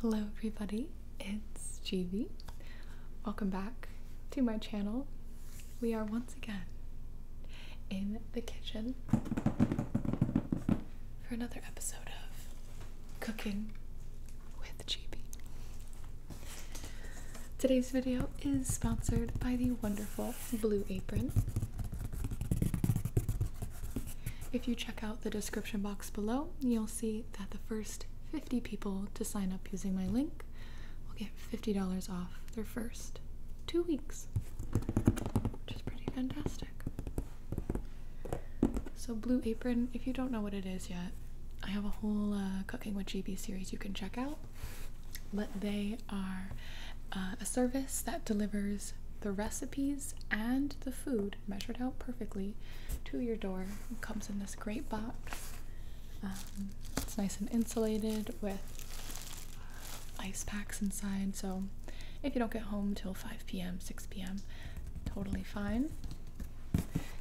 Hello everybody, it's Jeevee. Welcome back to my channel. We are once again in the kitchen for another episode of Cooking with Jeevee. Today's video is sponsored by the wonderful Blue Apron. If you check out the description box below, you'll see that the first 50 people to sign up using my link will get $50 off their first two weeks, which is pretty fantastic. So, Blue Apron, if you don't know what it is yet, I have a whole uh, Cooking with GB series you can check out. But they are uh, a service that delivers the recipe and the food measured out perfectly to your door. comes in this great box. Um, it's nice and insulated with uh, ice packs inside, so if you don't get home till 5 p.m., 6 p.m., totally fine.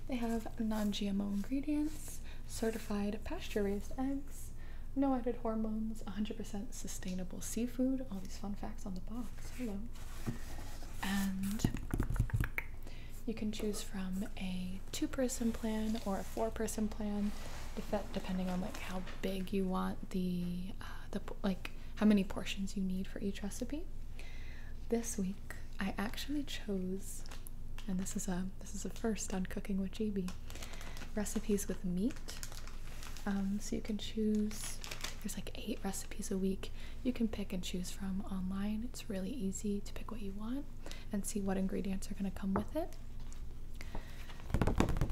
They have non GMO ingredients, certified pasture raised eggs, no added hormones, 100% sustainable seafood, all these fun facts on the box. And you can choose from a two-person plan or a four-person plan, depending on like how big you want the uh, the like how many portions you need for each recipe. This week, I actually chose, and this is a this is a first on Cooking with JB, recipes with meat. Um, so you can choose there's like eight recipes a week you can pick and choose from online. It's really easy to pick what you want and see what ingredients are going to come with it.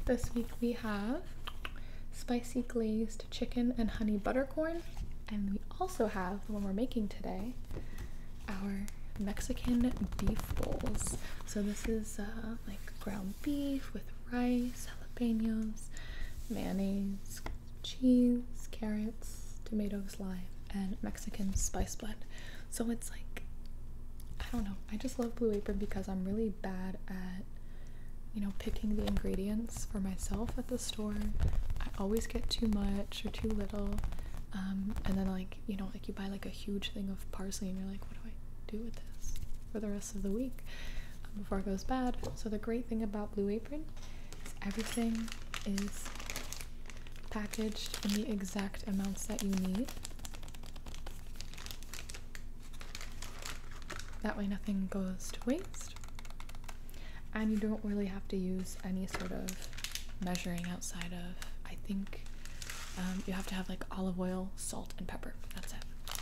This week we have spicy glazed chicken and honey buttercorn, and we also have the one we're making today, our Mexican beef bowls. So this is uh, like ground beef with rice, jalapenos, mayonnaise, cheese, carrots, tomatoes, lime, and Mexican spice blend. So it's like, I don't know, I just love Blue Apron because I'm really bad at, you know, picking the ingredients for myself at the store. I always get too much or too little. Um, and then like you know like you buy like a huge thing of parsley and you're like what do i do with this for the rest of the week um, before it goes bad. So, the great thing about Blue Apron is everything is packaged in the exact amounts that you need. That way, nothing goes to waste. And you don't really have to use any sort of measuring outside of, I think um, you have to have like olive oil, salt and pepper. That's it. So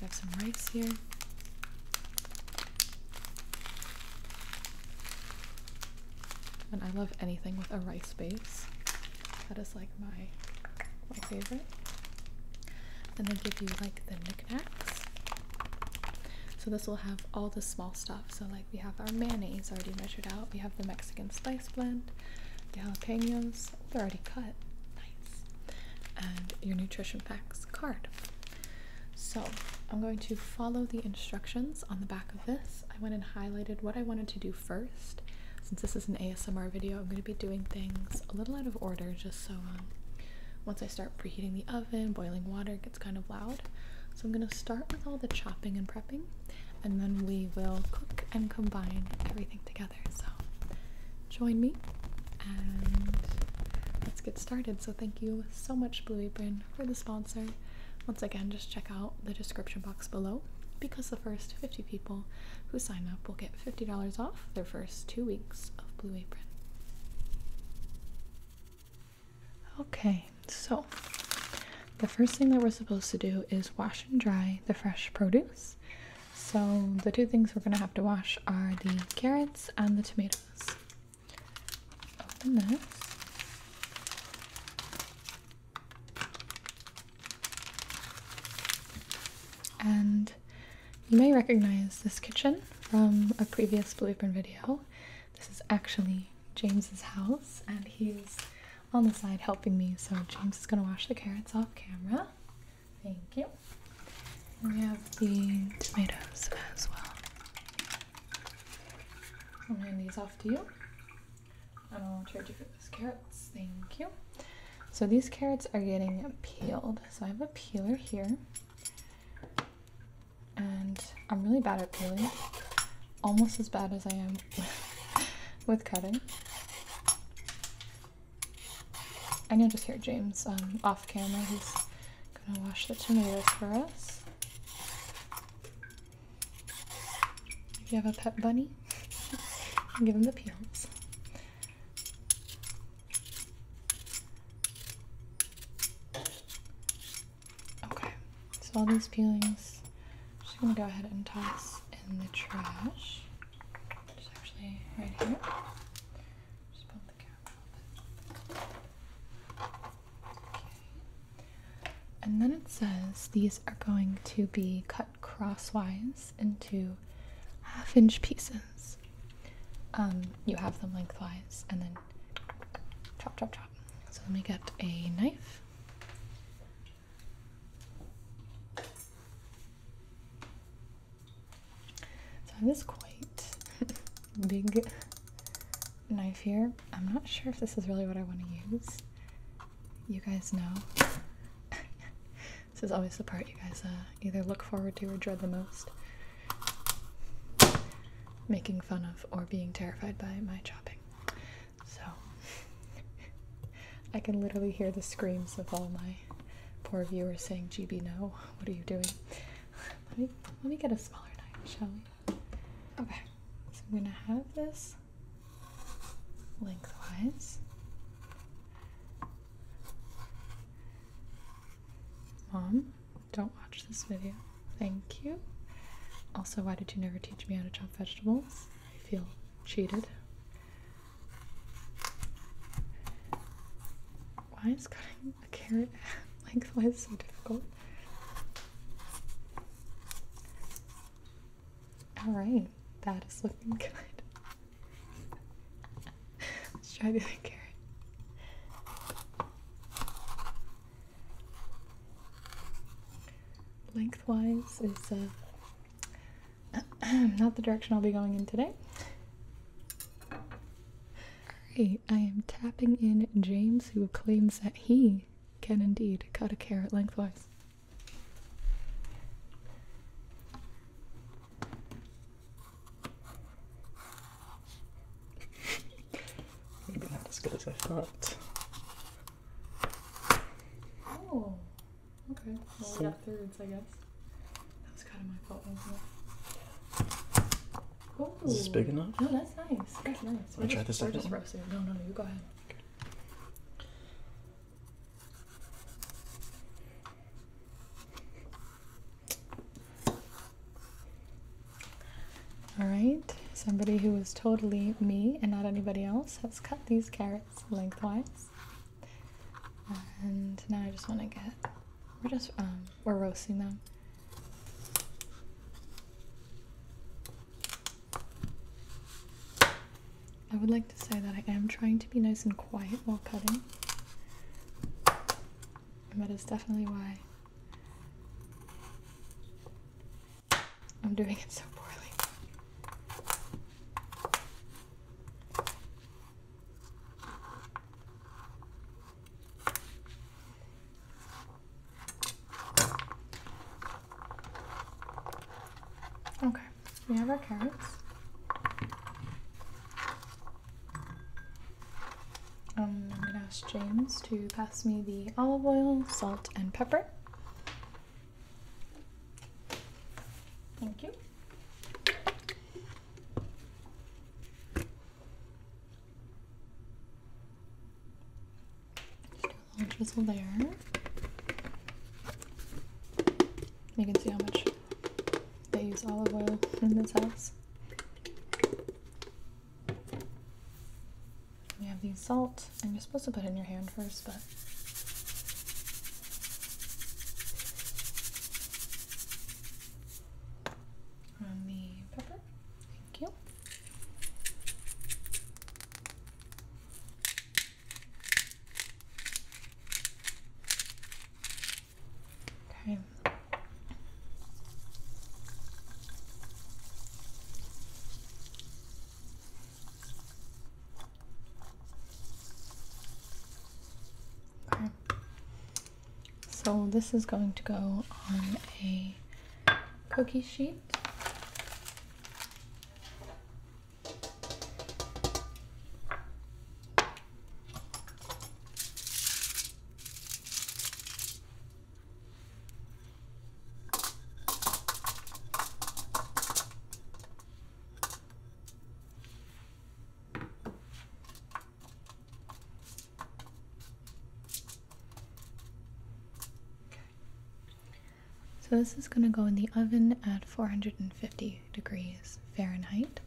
we have some rice here. And I love anything with a rice base. That is like my my favorite. And they give you like the knickknacks. So this will have all the small stuff. So like we have our mayonnaise already measured out. We have the Mexican spice blend, the jalapenos. they're already cut and your nutrition facts card. So I'm going to follow the instructions on the back of this. I went and highlighted what I wanted to do first. Since this is an ASMR video, I'm going to be doing things a little out of order just so um, once I start preheating the oven, boiling water gets kind of loud. So I'm going to start with all the chopping and prepping and then we will cook and combine everything together. So join me and let's get started. So thank you so much, Blue Apron, for the sponsor. Once again, just check out the description box below because the first 50 people who sign up will get $50 off their first two weeks of Blue Apron. Okay, so the first thing that we're supposed to do is wash and dry the fresh produce. So the two things we're going to have to wash are the carrots and the tomatoes. Open this. And you may recognize this kitchen from a previous Blueprint video. This is actually James's house and he's on the side helping me. So James is going to wash the carrots off camera. Thank you. we have the tomatoes as well. I'm going to hand these off to you. And I'll charge you for those carrots. Thank you. So these carrots are getting peeled. So I have a peeler here. And I'm really bad at peeling. Almost as bad as I am with cutting. I you just hear James um, off camera. He's gonna wash the tomatoes for us. If you have a pet bunny, give him the peels. Okay, so all these peelings, I'm just gonna go ahead and toss in the trash. It's actually right here. Just bump the camera Okay. And then it says these are going to be cut crosswise into half inch pieces. Um, you have them lengthwise and then chop, chop, chop. So let me get a knife. I have this quite big knife here. I'm not sure if this is really what I want to use. You guys know. this is always the part you guys uh, either look forward to or dread the most. Making fun of or being terrified by my chopping. So I can literally hear the screams of all my poor viewers saying, "GB, no! What are you doing?" Let me let me get a smaller knife, shall we? Okay, so I'm gonna have this lengthwise. Mom, don't watch this video. Thank you. Also, why did you never teach me how to chop vegetables? I feel cheated. Why is cutting a carrot lengthwise so difficult? Alright, that is looking good. Let's try the other carrot. Lengthwise is uh, Not the direction I'll be going in today. Alright, I am tapping in James, who claims that he can indeed cut a carrot lengthwise. Maybe not as good as I thought. Oh. Okay, well, we got thirds, I guess. That was kind of my fault, wasn't it? Ooh. Is big enough? No, that's nice. That's nice. We're try this second No, no, you go ahead. All right, somebody who is totally me and not anybody else has cut these carrots lengthwise. And now I just want to get we're just um we're roasting them. I would like to say that I am trying to be nice and quiet while cutting. And that is definitely why I'm doing it so poorly. Okay, we have our carrots. Um, I'm going to ask James to pass me the olive oil, salt, and pepper. Thank you. little drizzle there. You can see how much they use olive oil in this house. You have the salt, and you're supposed to put it in your hand first, but on the pepper. Thank you. Okay. Okay. So this is going to go on a cookie sheet. So this is going to go in the oven at 450 degrees Fahrenheit.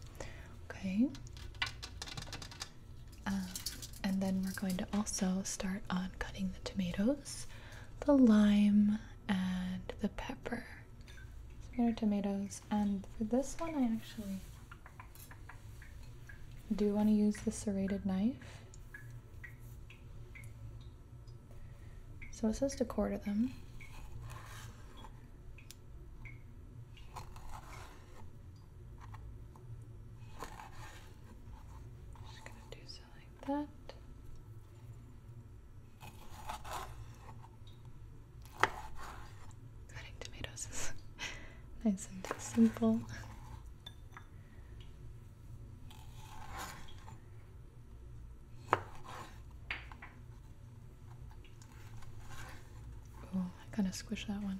Okay. Um, and then we're going to also start on cutting the tomatoes the lime and the pepper. So tomatoes, and for this one, I actually do want to use the serrated knife. So it says to quarter them. Cutting tomatoes nice and simple. Oh, I kind of squished that one.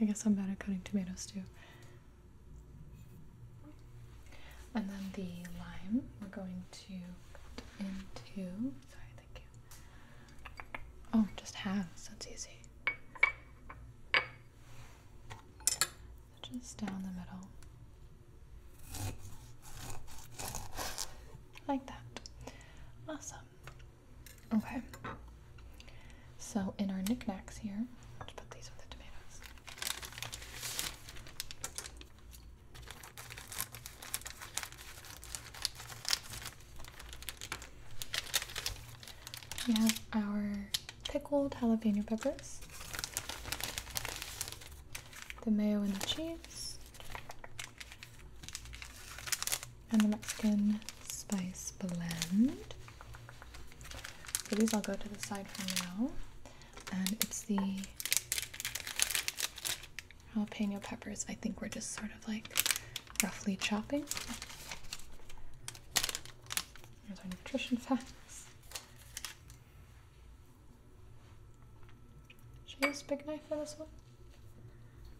I guess I'm bad at cutting tomatoes too. And then the lime we're going to cut into. Sorry, thank you. Oh, just halves. That's easy. Just down the middle. Like that. Awesome. Okay. So in our knickknacks here, We have our pickled jalapeno peppers, the mayo and the cheese, and the Mexican spice blend. So these I'll go to the side for now. And it's the jalapeno peppers. I think we're just sort of like roughly chopping. There's our nutrition facts. Should I use big knife for this one?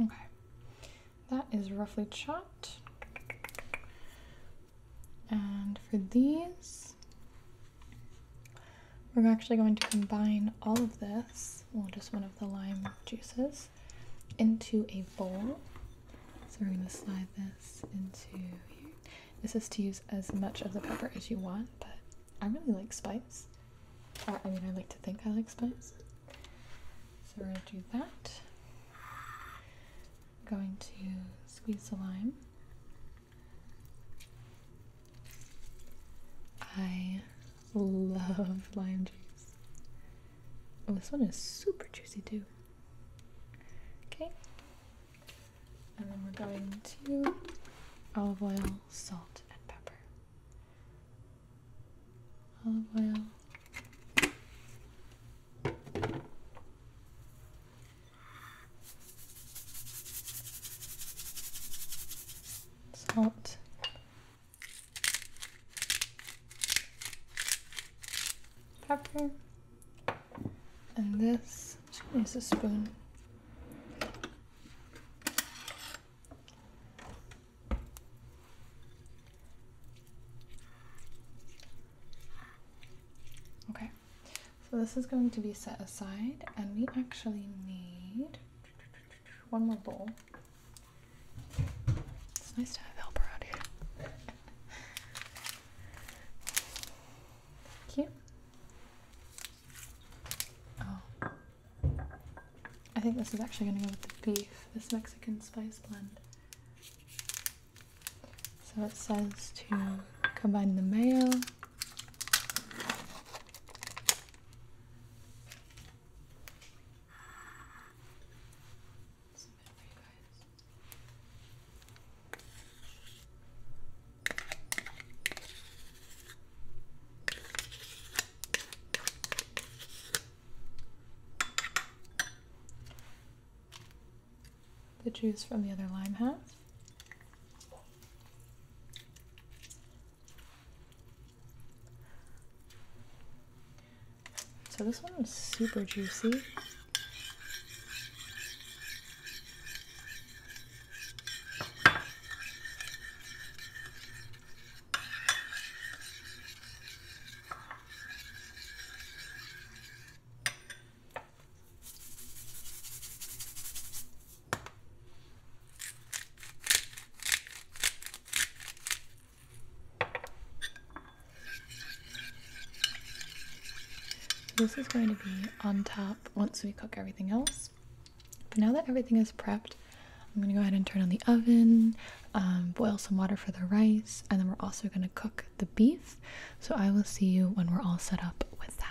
Okay, that is roughly chopped. And for these, we're actually going to combine all of this, well, just one of the lime juices, into a bowl. So we're going to slide this into This is to use as much of the pepper as you want, but I really like spice. I mean, I like to think I like spice. So I are do that. I'm going to squeeze the lime. I love lime juice. Oh, this one is super juicy too. Okay. And then we're going to olive oil, salt, and pepper. Olive oil. Salt. Pepper. And this is a spoon Okay, so this is going to be set aside, and we actually need one more bowl. It's nice to have help around here. Thank you. Oh. I think this is actually going to go with the beef, this Mexican spice blend. So it says to combine the mayo. The juice from the other lime half. So this one is super juicy. This is going to be on top once we cook everything else. But now that everything is prepped, I'm gonna go ahead and turn on the oven, um, boil some water for the rice, and then we're also gonna cook the beef. So I will see you when we're all set up with that.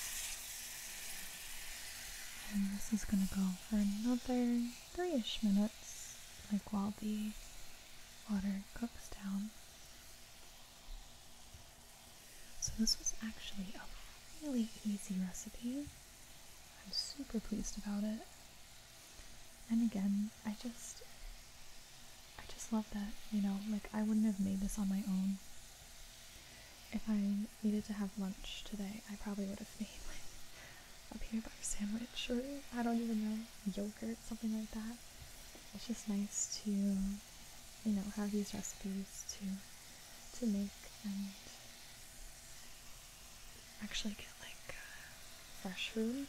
And this is gonna go for another three-ish minutes, like while the water cooks down. So this was actually a really easy recipe. I'm super pleased about it. And again, I just I just love that, you know, like I wouldn't have made this on my own. If I needed to have lunch today, I probably would have made like a peanut butter sandwich or I don't even know, yogurt, something like that. It's just nice to, you know, have these recipes to to make and actually get like uh, fresh food.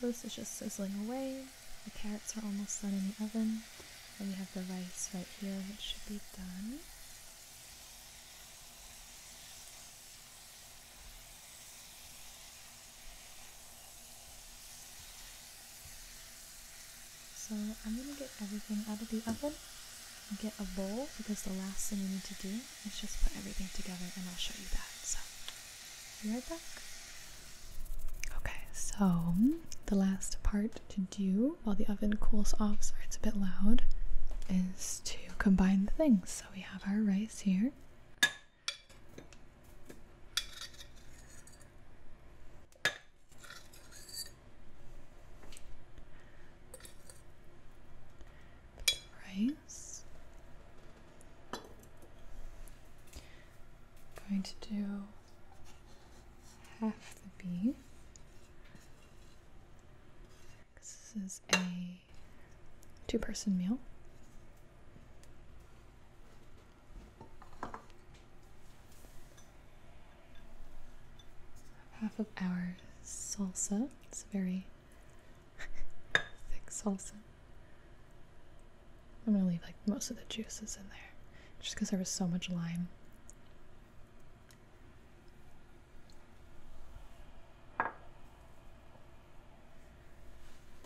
So this is just sizzling away. The carrots are almost done in the oven. And we have the rice right here, which should be done. So I'm going to get everything out of the oven and get a bowl because the last thing we need to do is just put everything together and I'll show you that. So be right back. Okay, so the last part to do while the oven cools off, so it's a bit loud, is to combine the things. So we have our rice here rice. I'm going to do half the beef. This is a two person meal half of our salsa. It's a very thick salsa. I'm gonna leave like most of the juices in there just because there was so much lime.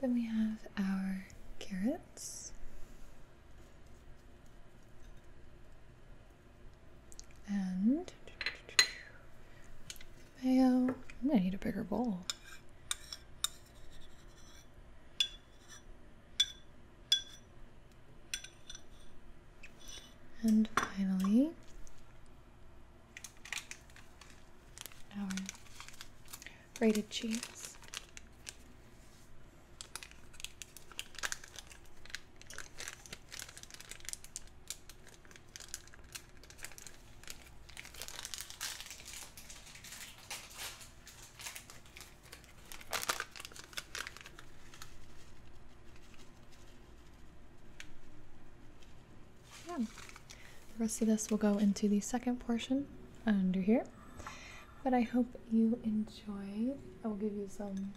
Then we have our carrots and mayo. I'm gonna need a bigger bowl. And finally, our grated cheese. Yeah. The rest of this will go into the second portion under here. But I hope you enjoyed. I will give you some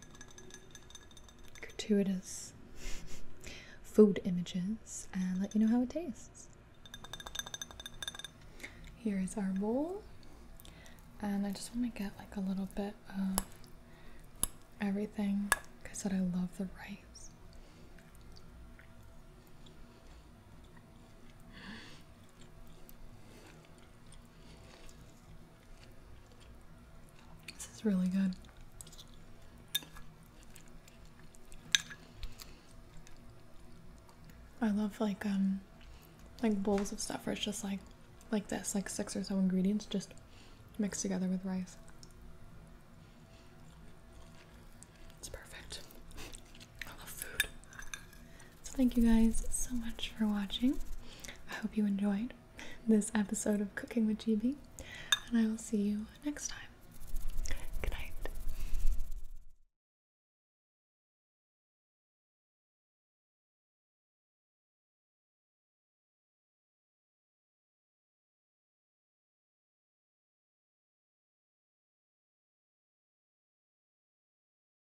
gratuitous food images and let you know how it tastes. Here is our bowl. And I just want to get like a little bit of everything. Like I said, I love the rice. This is really good. I love like um like bowls of stuff where it's just like like this, like six or so ingredients just mixed together with rice. It's perfect. I love food. So, thank you guys so much for watching. I hope you enjoyed this episode of Cooking with GB, and I will see you next time. Good night.